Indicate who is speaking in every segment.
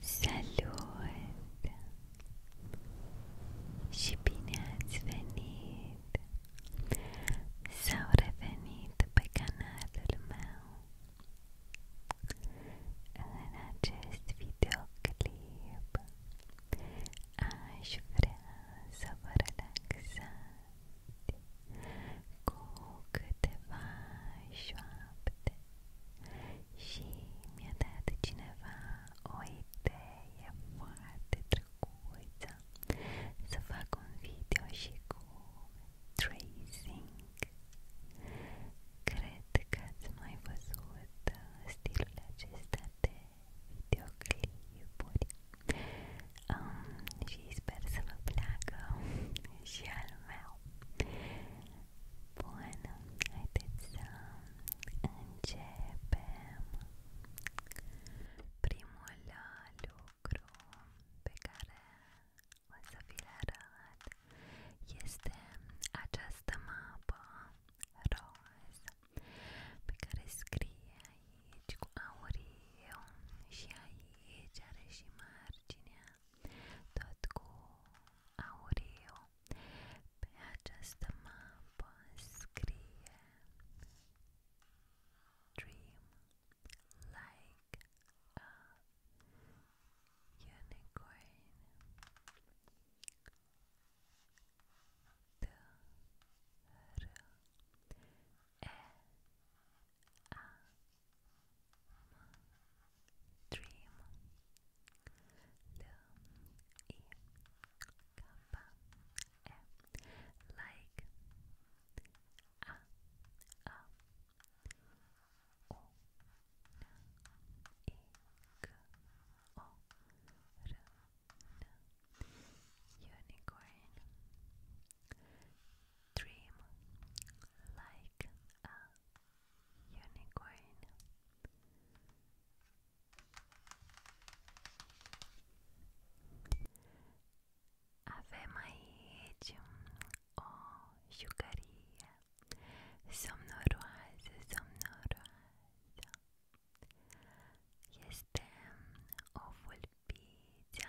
Speaker 1: Salut și bine ați venit sau revenit pe canalul meu În acest videoclip aș vrea să vă relaxați cu câteva șoapte și mi-a cineva o idee foarte drăguță să fac un video și cu tracing cred că ați mai văzut stilul acesta de videoclipuri um, și sper să vă placă și al meu. Bun, haideți să începem. Primul lucru pe care o să vi-l arăt este această mapă roz pe care scrie aici cu auriu și aici are și marginea .com Aureo. Pe această mapă scrie Dream like a unicorn D R E A dream L E Kappa E like a a o n e k o r n unicorn Dream like a unicorn. Avem um aici o jucărie somnoroasă, somnoroasă. Este o vulpiță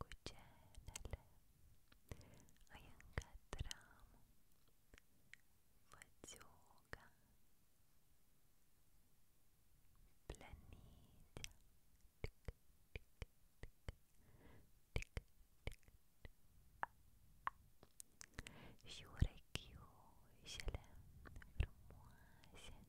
Speaker 1: Кученеле, Аянкатрам, Ватюга, Планидя, Șurechiușele frumoase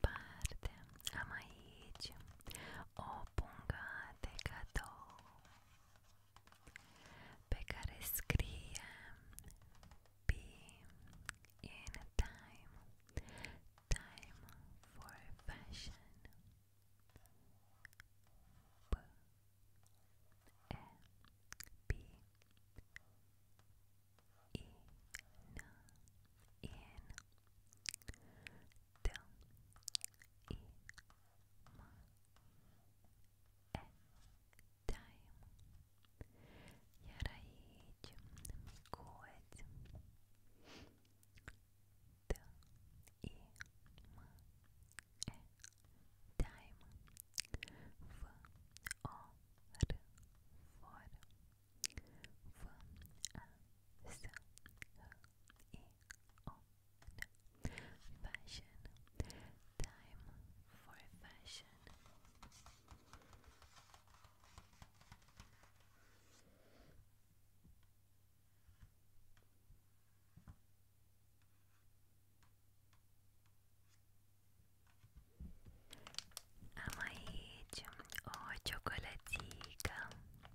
Speaker 1: i am aici o pungă de cadou um. pe in time, time for fashion B E B Então, e uma é time. Я раидем мигодим. Да и мы э тайм в ор фор. From a soul on fashion. Time for fashion. Amarillo o oh, chocolatica.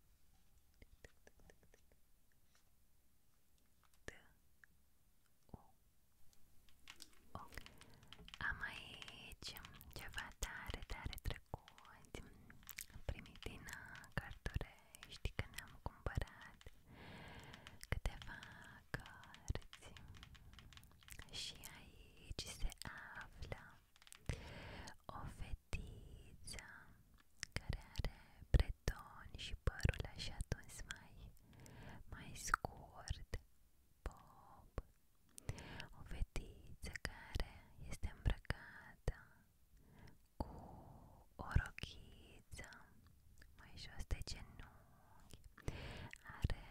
Speaker 1: D U o. Am aici ceva tare, tare trecut Am primit din Cartorești că ne-am cumpărat câteva cărți și aici se află o fetiță fetiță care are breton și părul așa tuns mai, mai scurt, bob. O fetiță care este îmbrăcată cu o rochiță mai jos de genunchi, are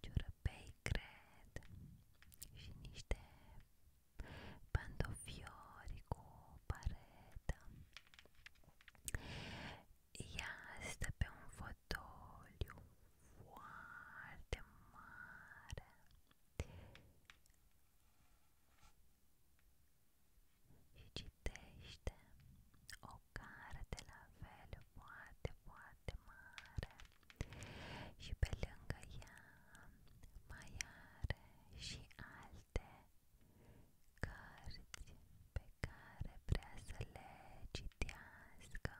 Speaker 1: ciurăpei cred și niște Pantofiori cu paretă. Ea stă un fotoliu foarte mare. Și citește o carte la fel foarte, foarte mare și pe lângă ea mai are și alte cărți pe care vrea să le citească.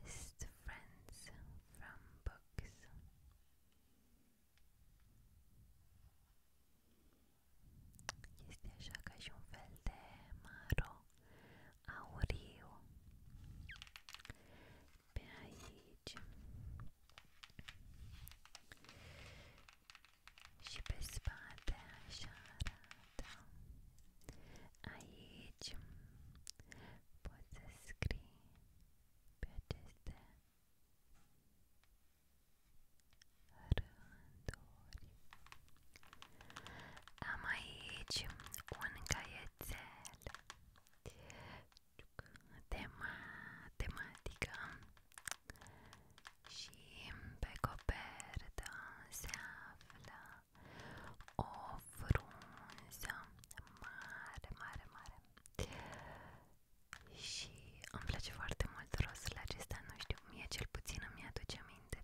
Speaker 1: Best friends from books. Este așa ca și un fel de maro auriu pe aici și pe spate așa arată aici poți să scrii pe aceste rânduri. Am aici un caietel tema, tematică și pe copertă se află o frunză mare, mare, mare și îmi place foarte mult rostul acesta, nu știu, mie cel puțin îmi aduce aminte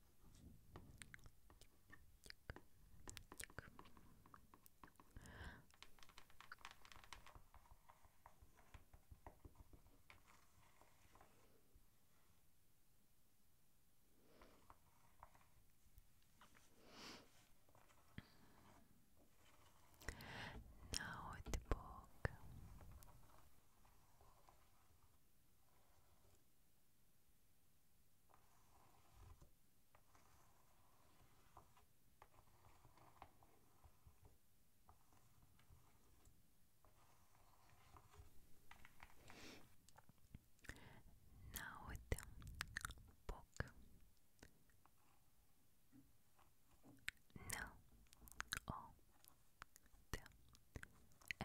Speaker 1: Now the now with book. No. Oh. Eh,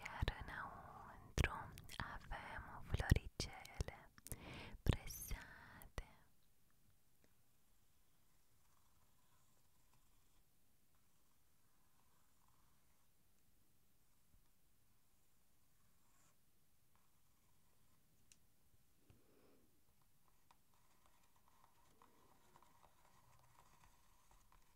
Speaker 1: iar înăuntru avem floricele presate.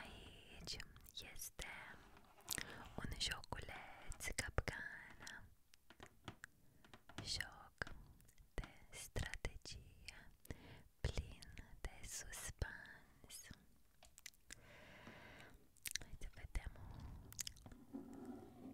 Speaker 1: Aici este un joculeț capcana, joc de strategie plin de suspans. Hai să vedem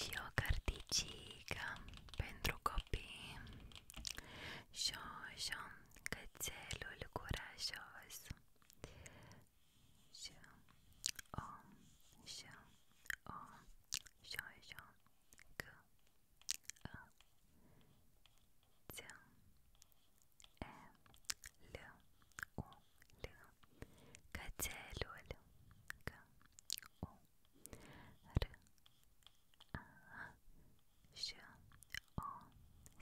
Speaker 1: Șocarticica pentru copii Șoșo, cățelul curajos Șo, o, oh, șo, o, oh, șoșo, c, a, ț, e, eh, l, u, l R A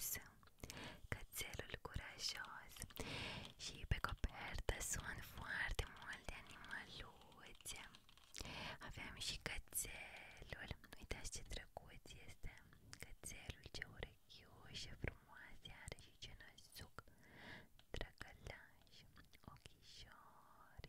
Speaker 1: S Cățelul curajos Și pe copertă sunt foarte multe animaluțe Aveam și cățelul Uitați ce drăguț este Cățelul, ce urechios și frumoase are și ce năzuc Drăgălaș, ochișori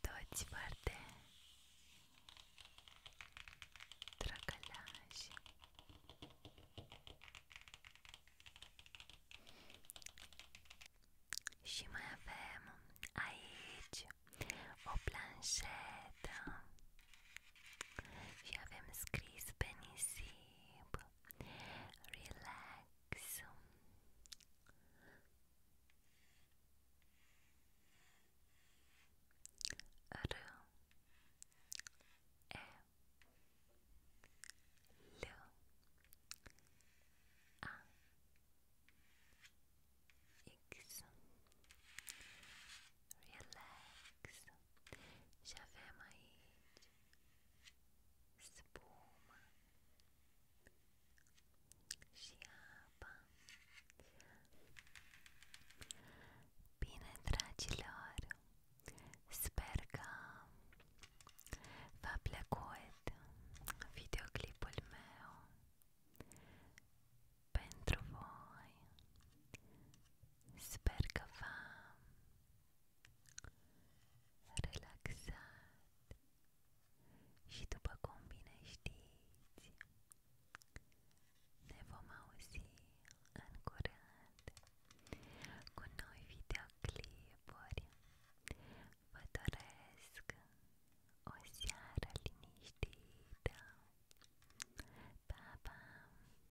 Speaker 1: Toți foarte drăgălași Și mai avem aici o planșetă și avem scris pe nisip relax. R E L A X relax acasă și avem aici spuma și apa Bine, dragilor! Sper că v-a plăcut videoclipul meu pentru voi Spergafam Relaxat Și după cum bine știți Ne vom auzi în Cu noi videoclipuri Vă doresc o seară liniștită pa!